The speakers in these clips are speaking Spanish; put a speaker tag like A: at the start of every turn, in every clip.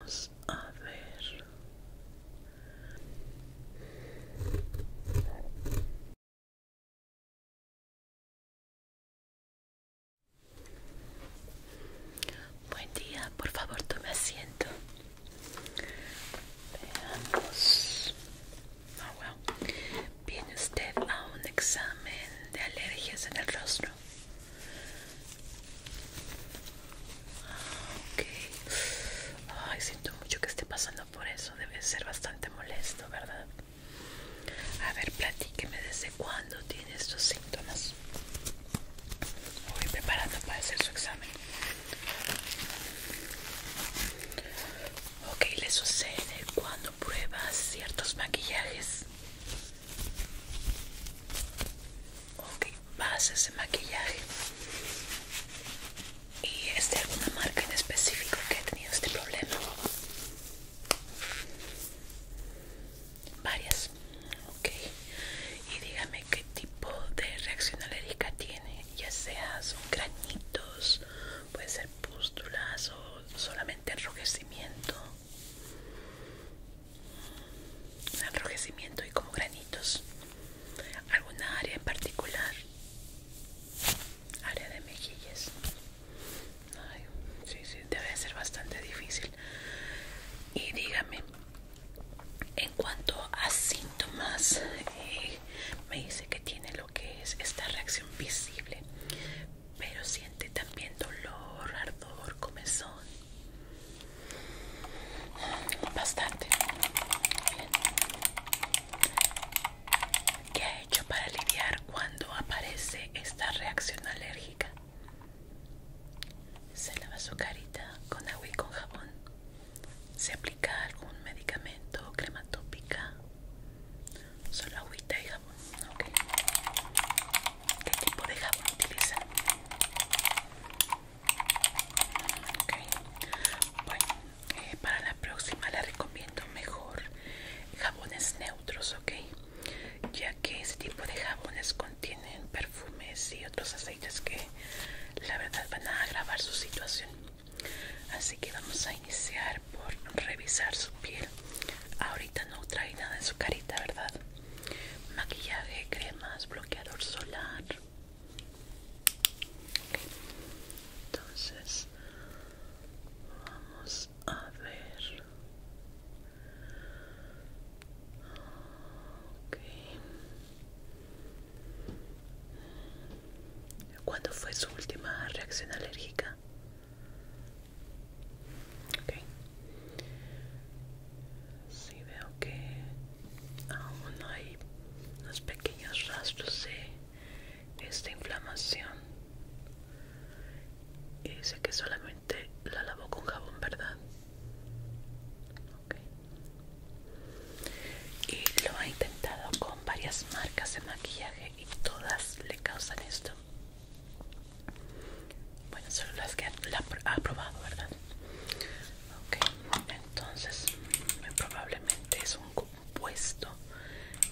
A: Vamos a ver. Buen día, por favor, tome asiento. Veamos. Ah, oh, Viene usted a un examen de alergias en el rostro ay siento mucho que esté pasando por eso debe ser bastante molesto verdad a ver platíqueme desde cuándo tiene estos síntomas voy preparando para hacer su examen ok le sucede cuando pruebas ciertos maquillajes Ok, vas ese maquillaje. ¿Y es de alguna marca en específico que ha tenido este problema? Varias. Ok. Y dígame qué tipo de reacción alérgica tiene, ya sea son granitos, puede ser pústulas o solamente enrojecimiento enrojecimiento y como granitos. ¿Alguna área en particular? Área de mejillas. debe ser bastante difícil. Y dígame, en cuanto a síntomas, eh, me dice que tiene lo que es esta reacción visible, pero siente también dolor, ardor, comezón bastante ¿Qué ha hecho para lidiar cuando aparece esta reacción alérgica? Se lava su carita con agua y con jabón. Se aplica algún medicamento, crema tópica. Solo agüita y jabón. ¿Qué tipo de jabón utiliza? Okay. Bueno, eh, para la próxima le recomiendo mejor jabones neutros, ¿ok? Ya que ese tipo de jabones contienen perfumes y otros aceites que la verdad van a agravar su situación. Así que vamos a iniciar por revisar su piel. Ahorita no trae nada en su carita, ¿verdad? maquillaje, cremas, bloqueador solar. Entonces, vamos a ver. ¿Cuándo fue su última reacción alérgica? si veo que aún hay unos pequeños rastros de esta inflamación y dice que solamente la lavó con jabón verdad y lo ha intentado con varias marcas de maquillaje y todas le causan esto bueno, solo las que la ha probado, ¿verdad? Ok, entonces muy probablemente es un compuesto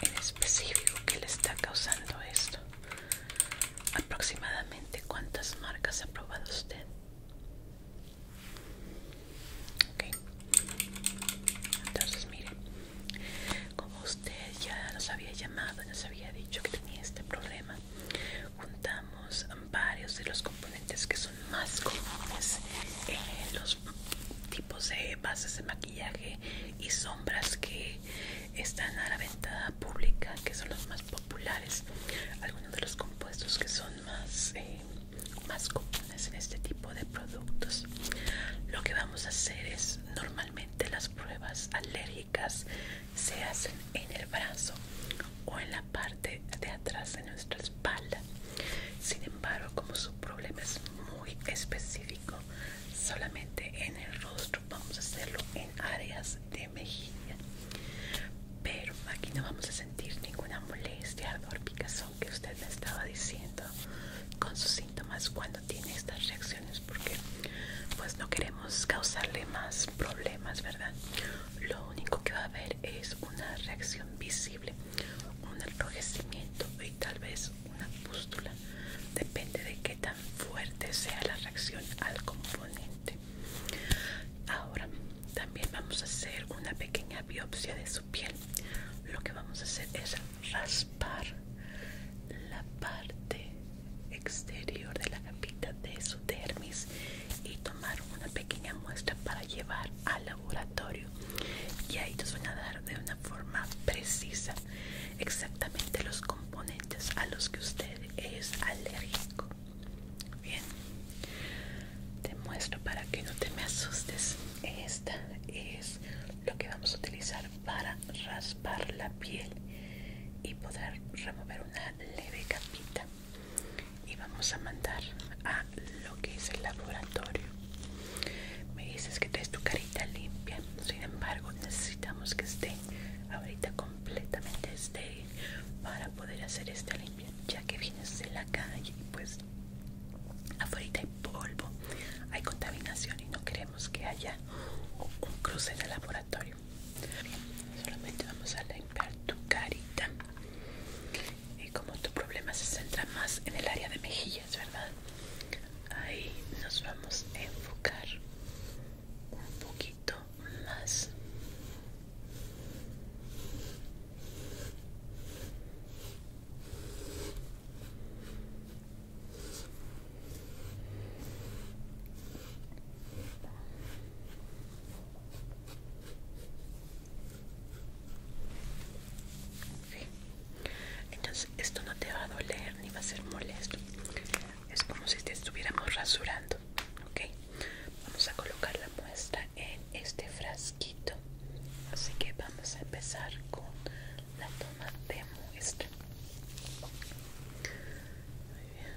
A: en específico que le está causando esto. Aproximadamente, ¿cuántas marcas ha probado usted? entonces mire, como usted ya nos había llamado, nos había dicho que tenía este problema, juntamos varios de los componentes que son más comunes en los tipos de bases de maquillaje y sombras que están a la venta pública que son los más populares algunos de los compuestos que son más eh, más comunes en este tipo de productos lo que vamos a hacer es normalmente las pruebas alérgicas se hacen en el brazo o en la parte de atrás de nuestra espalda. Sin embargo, como su problema es muy específico, solamente en el rostro vamos a hacerlo en áreas de mejilla. Pero aquí no vamos a sentir ninguna molestia, ardor, picazón que usted me estaba diciendo con sus síntomas cuando tiene estas reacciones porque pues no queremos causarle más problemas, ¿verdad? Lo único que va a haber es una reacción visible, un enrojecimiento y tal vez una pústula. Depende de qué tan fuerte sea la reacción al componente. Ahora, también vamos a hacer una pequeña biopsia de su piel. Lo que vamos a hacer es raspar la parte exterior de la capita de su dermis y tomar una pequeña muestra para llevar al laboratorio y ahí te van a dar de una forma precisa exactamente los componentes a los que usted es alérgico bien te muestro para que no te me asustes esta es lo que vamos a utilizar para raspar la piel y poder remover una leve capita y vamos a mandar a lo que es el laboratorio. Me dices que traes tu carita limpia, sin embargo necesitamos que esté ahorita completamente estéril para poder hacer esta limpia, ya que vienes de la calle y pues afuera hay polvo, hay contaminación y no queremos que haya un cruce en el laboratorio solamente vamos a limpiar tu carita y como tu problema se centra más en el área de mejillas verdad ahí nos vamos a enfocar un poquito más entonces esto no te va a doler ni va a ser molesto. Es como si te estuviéramos rasurando. Vamos a colocar la muestra en este frasquito. Así que vamos a empezar con la toma de muestra. Muy bien.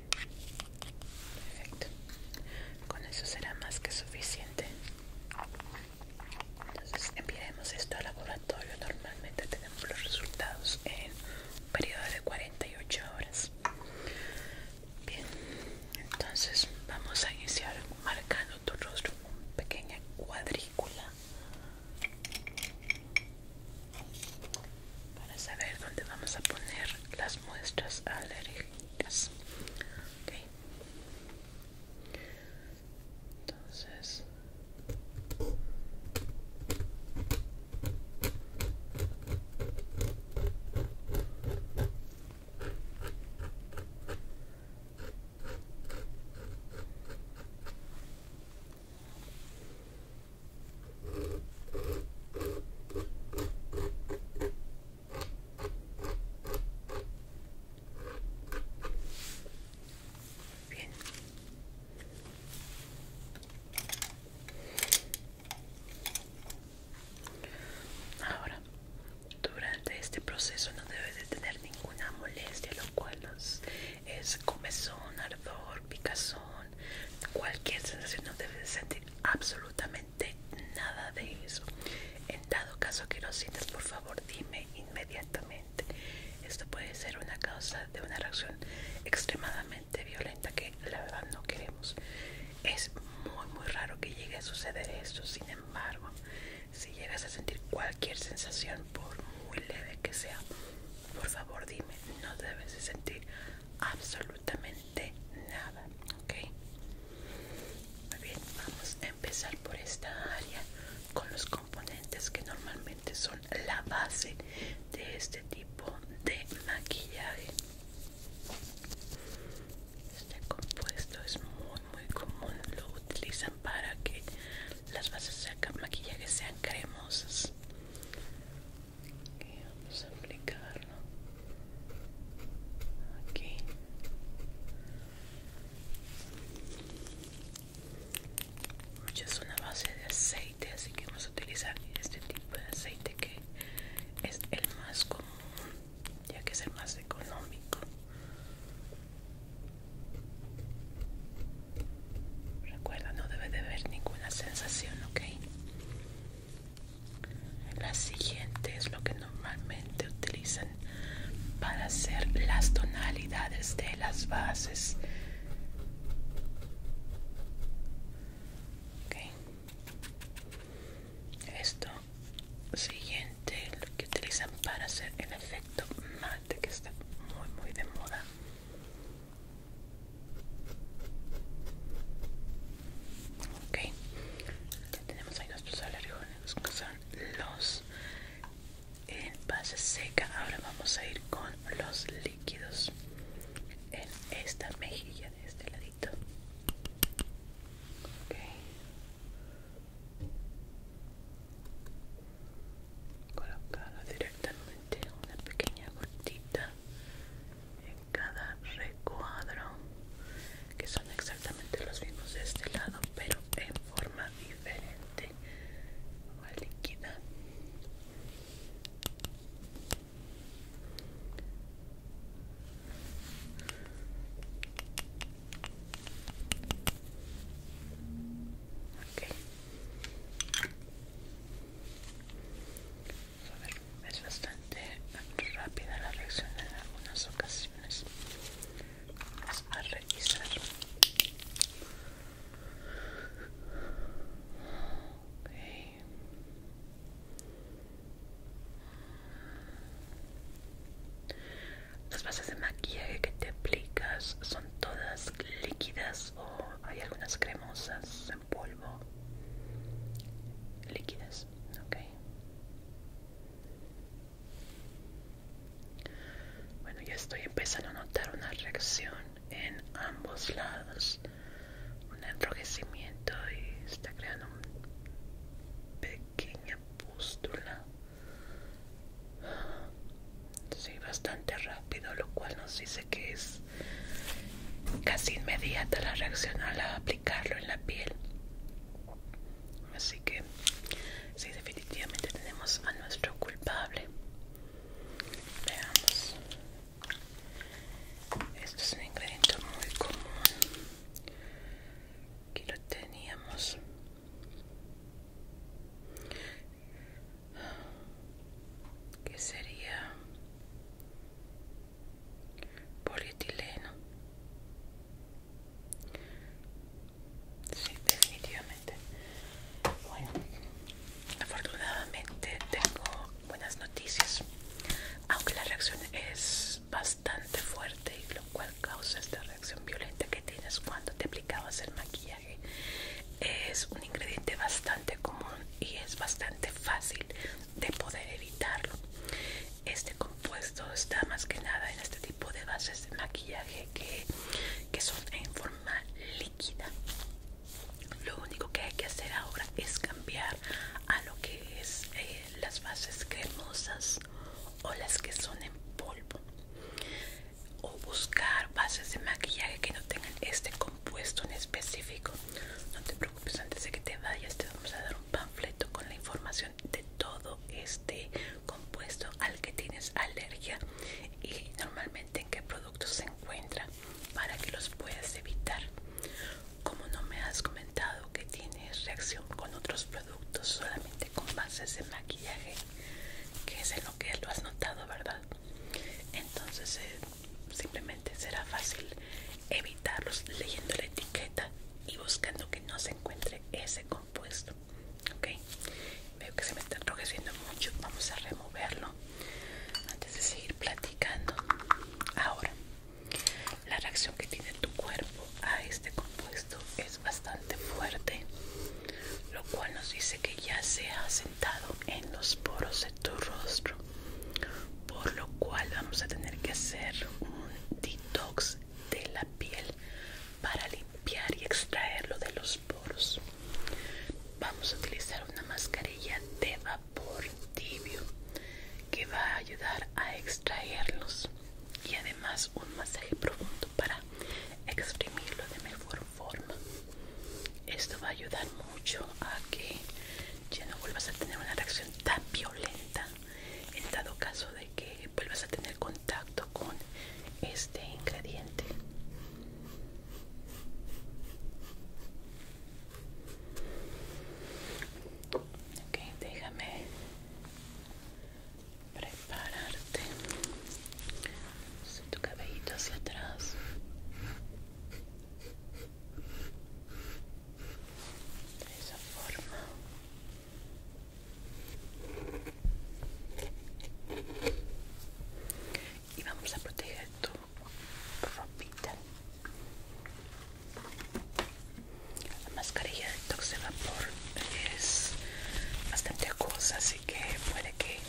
A: Perfecto. Con eso será más que suficiente. Entonces enviaremos esto al laboratorio. Normalmente tenemos los resultados en un periodo de 48 horas. Bien, entonces vamos a iniciar marcando tu rostro una pequeña cuadrícula para saber dónde vamos a poner las muestras alérgicas. Entonces Bien. Ahora, durante este proceso no debes de tener ninguna molestia, lo cual es comezón, ardor, picazón, cualquier sensación no debes de sentir absolutamente de nada de eso. En dado caso que lo sientas, por favor, dime inmediatamente. Esto puede ser una causa de una reacción extremadamente violenta que la verdad no queremos. Es muy, muy raro que llegue a suceder esto. Sin embargo, si llegas a sentir cualquier sensación, por muy leve que sea, por favor, dime. No debes de sentir absolutamente nada ok muy bien vamos a empezar por esta área con los componentes que normalmente son la base de este tipo de maquillaje este compuesto es muy muy común lo utilizan para que las bases de maquillaje sean cremosas vamos a aplicarlo aquí es una base de aceite así que vamos a utilizar este tipo de aceite que es el más común ya que es el más económico recuerda no debe de haber ninguna sensación ok la siguiente es lo que normalmente utilizan para hacer las tonalidades de las bases. Esto siguiente lo que utilizan para hacer el efecto mate que está muy muy de moda ok tenemos ahí nuestros alergones que son los en base seca ahora vamos a ir con los líquidos en esta mejilla de este ladito ok colocado directamente una pequeña gotita cada recuadro que son exactamente los mismos de este lado pero en forma diferente o líquida es bastante rápida la reacción en algunas ocasiones. Vamos a revisar. Las bases de maquillaje que te aplicas son todas líquidas o hay algunas cremosas polvo líquidas, ok. Bueno, ya estoy empezando a notar una reacción en ambos lados, un enrojecimiento y está creando una pequeña pústula. Sí, bastante rápido, lo cual nos dice que es casi inmediata la reacción al aplicarlo en la piel así que si, definitivamente tenemos a nuestro culpable veamos esto es un ingrediente muy común aquí lo teníamos que sería polietileno sí, definitivamente bueno afortunadamente tengo buenas noticias aunque la reacción es bastante fuerte y lo cual causa esta reacción violenta que tienes cuando te aplicabas el maquillaje es un ingrediente bastante común y es bastante fácil de poder evitarlo. Este compuesto está más que nada en este tipo de bases de maquillaje que, son en forma líquida. Lo único que hay que hacer ahora es cambiar a lo que es eh, las bases cremosas o las que son en polvo o buscar bases de maquillaje que no tengan este compuesto en específico no te pues antes de que te vayas te vamos a dar un panfleto con la información de todo este compuesto al que tienes alergia y normalmente en qué productos se encuentra para que los puedas evitar. Como no me has comentado que tienes reacción con otros productos, solamente con bases de maquillaje, que es en lo que lo has notado, ¿verdad? Entonces eh, simplemente será fácil evitarlos leyendo la etiqueta y buscando que no se encuentre ese compuesto ok veo que se me está enrojeciendo mucho vamos a removerlo antes de seguir platicando ahora la reacción que tiene tu cuerpo a este compuesto es bastante fuerte lo cual nos dice que ya se ha sentado en los poros de tu rostro por lo cual vamos a tener que hacer un detox de la piel para limpiar y extraerlo de los poros vamos a utilizar una mascarilla de vapor tibio que va a ayudar a extraerlos y además un masaje profundo para exprimirlo de mejor forma esto va a ayudar mucho a que ya no vuelvas a tener una reacción tan violenta en dado caso de que vuelvas a tener contacto con este ingrediente ok déjame prepararte tu cabellito hacia atrás de esa forma y vamos a proteger tu ropita la mascarilla de toxevapor vapor es bastante acuosa así que puede que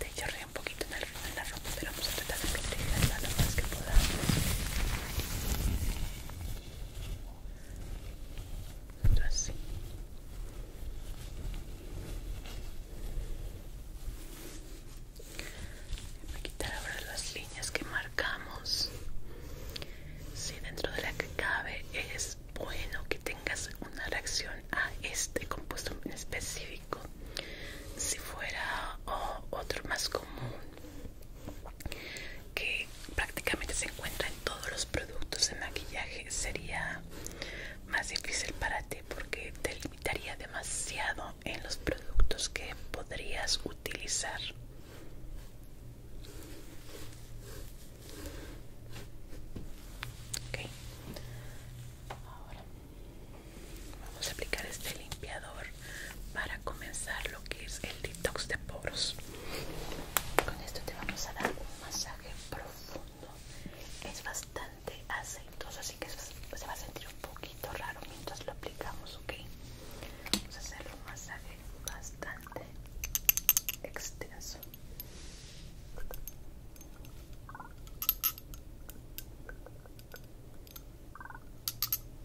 A: te chorree un poquito en, en la ropa pero vamos a tratar de protegerla lo más que podamos. Así. Voy a quitar ahora las líneas que marcamos. Si dentro de la que cabe es bueno que tengas una reacción a este compuesto en específico. Si fuera oh, otro más común que prácticamente se encuentra en todos los productos de maquillaje sería más difícil para ti porque te limitaría demasiado en los productos que podrías utilizar Vamos a aplicar este limpiador para comenzar lo que es el detox de poros. Con esto te vamos a dar un masaje profundo. Es bastante aceitoso, así que se va a sentir un poquito raro mientras lo aplicamos, ¿ok? Vamos a hacer un masaje bastante extenso.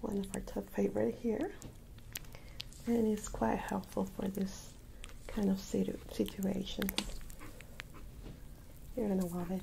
A: one of our top favorite here and it's quite helpful for this kind of situation you're gonna love it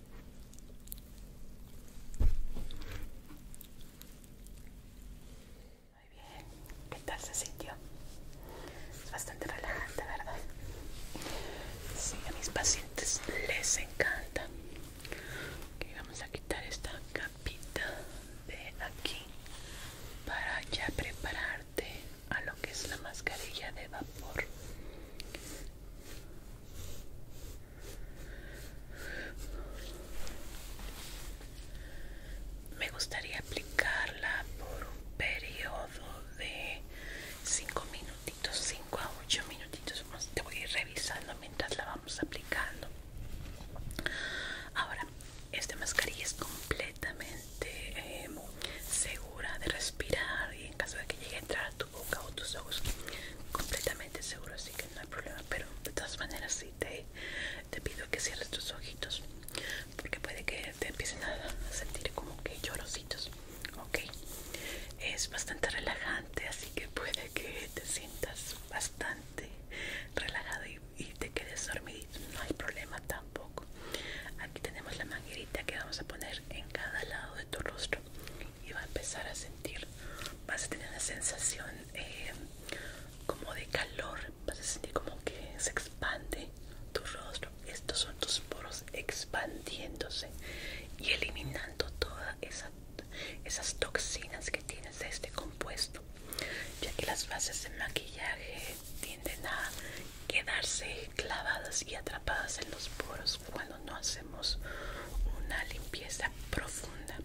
A: Muy bien, ¿qué tal se sintió? Es bastante relajante, ¿verdad? Sí, a mis pacientes les encanta. Ok, vamos a quitar esta capita de aquí para ya prepararte a lo que es la mascarilla de vapor me gustaría aplicarla por un periodo de 5 minutitos, 5 a 8 minutitos. Te voy a ir revisando mientras la vamos aplicando. Ahora, esta mascarilla es completamente eh, segura de respirar y en caso de que llegue a entrar a tu boca o tus ojos completamente seguro así que no hay problema pero de todas maneras sí te, te pido que cierres tus ojitos porque puede que te empiecen a sentir como que llorositos ok es bastante relajante así que puede que te sientas bastante relajado y, y te quedes dormidito no hay problema tampoco aquí tenemos la manguerita que vamos a poner en cada lado de tu rostro y va a empezar a sentir, vas a tener una sensación eh, como de calor, vas a sentir como que se expande tu rostro, estos son tus poros expandiéndose y eliminando todas esas toxinas que tienes de este compuesto, ya que las bases de maquillaje tienden a quedarse clavadas y atrapadas en los poros no hacemos una limpieza profunda,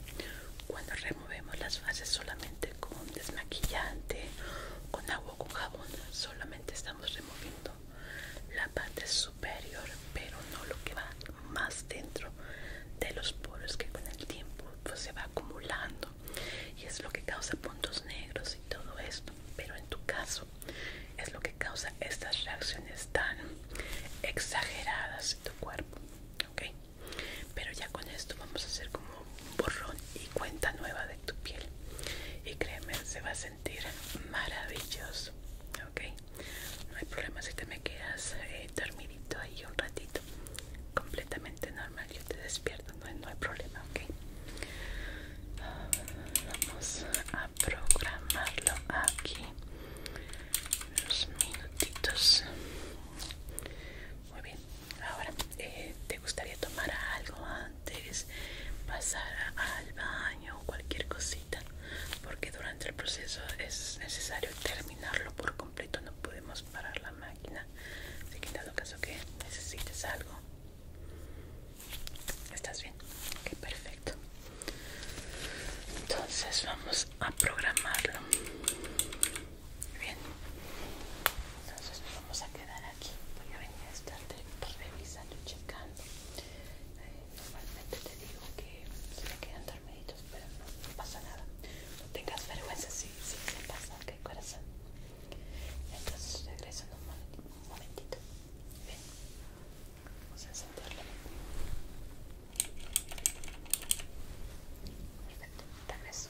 A: cuando removemos las fases solamente con desmaquillante, con agua con jabón, solamente estamos removiendo la parte superior, pero no lo que va más dentro de los poros que con el tiempo pues, se va acumulando y es lo que causa puntos negros y todo esto. Pero en tu caso es lo que causa estas reacciones tan exageradas en tu cuerpo. ¿Ok? Pero ya con esto vamos a hacer como un borrón y cuenta nueva de tu piel. Y créeme, se va a sentir maravilloso. ¿Ok? No hay problema si te me quedas eh, dormidito ahí un ratito. Completamente normal, yo te despierto, no, no hay problema, ¿ok? Vamos a programarlo aquí unos minutitos muy bien ahora eh, te gustaría tomar algo antes pasar al baño o cualquier cosita porque durante el proceso es necesario terminarlo por completo no podemos parar la máquina así que en caso que necesites algo estás bien ok perfecto entonces vamos a programarlo bien entonces nos vamos a quedar aquí voy a venir a estar revisando y checando eh, normalmente te digo que se me quedan dormiditos pero no, pasa nada no tengas vergüenza si se pasa que corazón entonces regreso en un momentito bien Vamos a encenderlo. Perfecto, dame eso.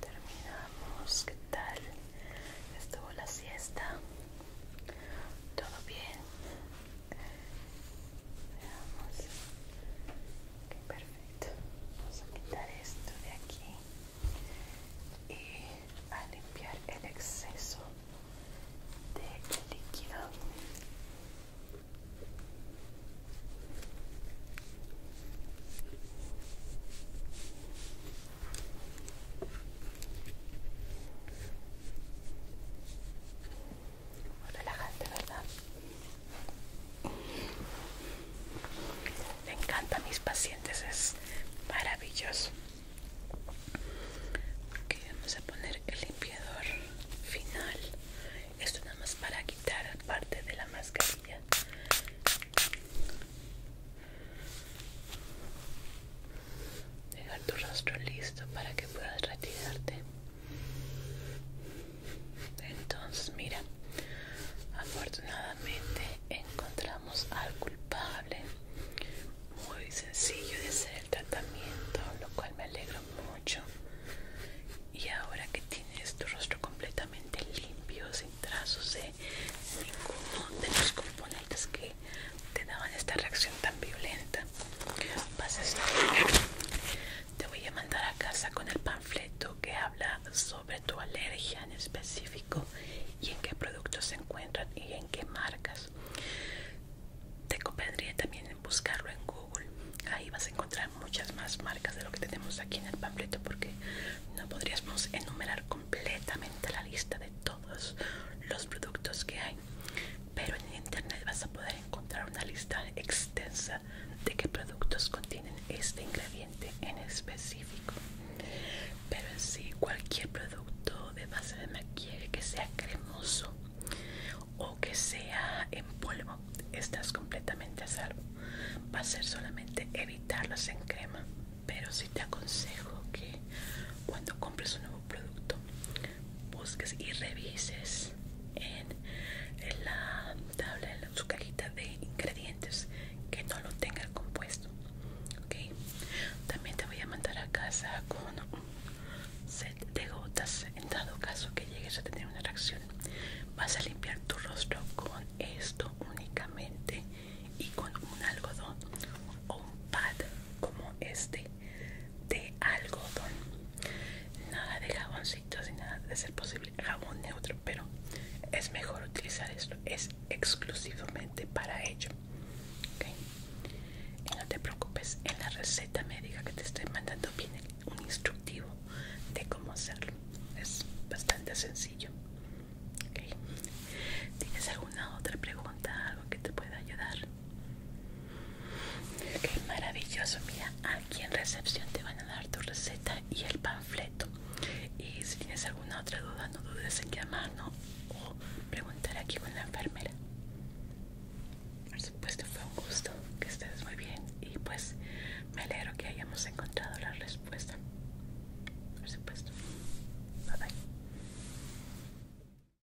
A: Terminamos, ¿qué tal? Estuvo la siesta. ¿Todo bien? perfecto. Vamos a quitar esto de aquí y a limpiar el exceso de líquido relajante, ¿verdad? Me encanta mis pacientes, es maravilloso. Ok, vamos a poner el limpiador final. Esto nada más para quitar parte de la mascarilla dejar tu rostro listo para que puedas retirarte entonces mira afortunadamente encontramos al culpable muy sencillo de hacer el tratamiento lo cual me alegro mucho y ahora que tienes tu rostro completamente limpio sin trazos de ninguno de los componentes que te daban esta reacción tan violenta. Vas a estar... Te voy a mandar a casa con el panfleto que habla sobre tu alergia en específico y en qué productos se encuentran y en qué marcas. Te convendría también en buscarlo en Google. Ahí vas a encontrar muchas más marcas de lo que tenemos aquí en el panfleto porque no podríamos enumerar completamente la lista de todos los productos que hay pero en internet vas a poder encontrar una lista extensa de qué productos contienen este ingrediente en específico. Pero si cualquier producto de base de maquillaje que sea cremoso o que sea en polvo, estás completamente a salvo. Va a ser solamente evitarlos en crema. Pero sí te aconsejo que cuando compres un nuevo producto busques y revises en, la tabla en su cajita de ingredientes que no lo tenga compuesto ok también te voy a mandar a casa con un set de gotas en dado caso que llegues a tener una reacción vas a limpiar tu rostro con esto únicamente y con un algodón o un pad como este de algodón nada de jaboncitos y nada de ser posible jabón neutro pero es mejor utilizar esto es exclusivamente para ello y no te preocupes en la receta médica que te estoy mandando viene un instructivo de cómo hacerlo es bastante sencillo ¿Tienes alguna otra pregunta? ¿Algo que te pueda ayudar? Qué maravilloso, mira, aquí en recepción te van a dar tu receta y el panfleto. Y si tienes alguna otra duda, no dudes en llamarnos o preguntar aquí con la enfermera. Por supuesto, fue un gusto que estés muy bien y pues me alegro que hayamos encontrado la respuesta. Por supuesto. Bye bye.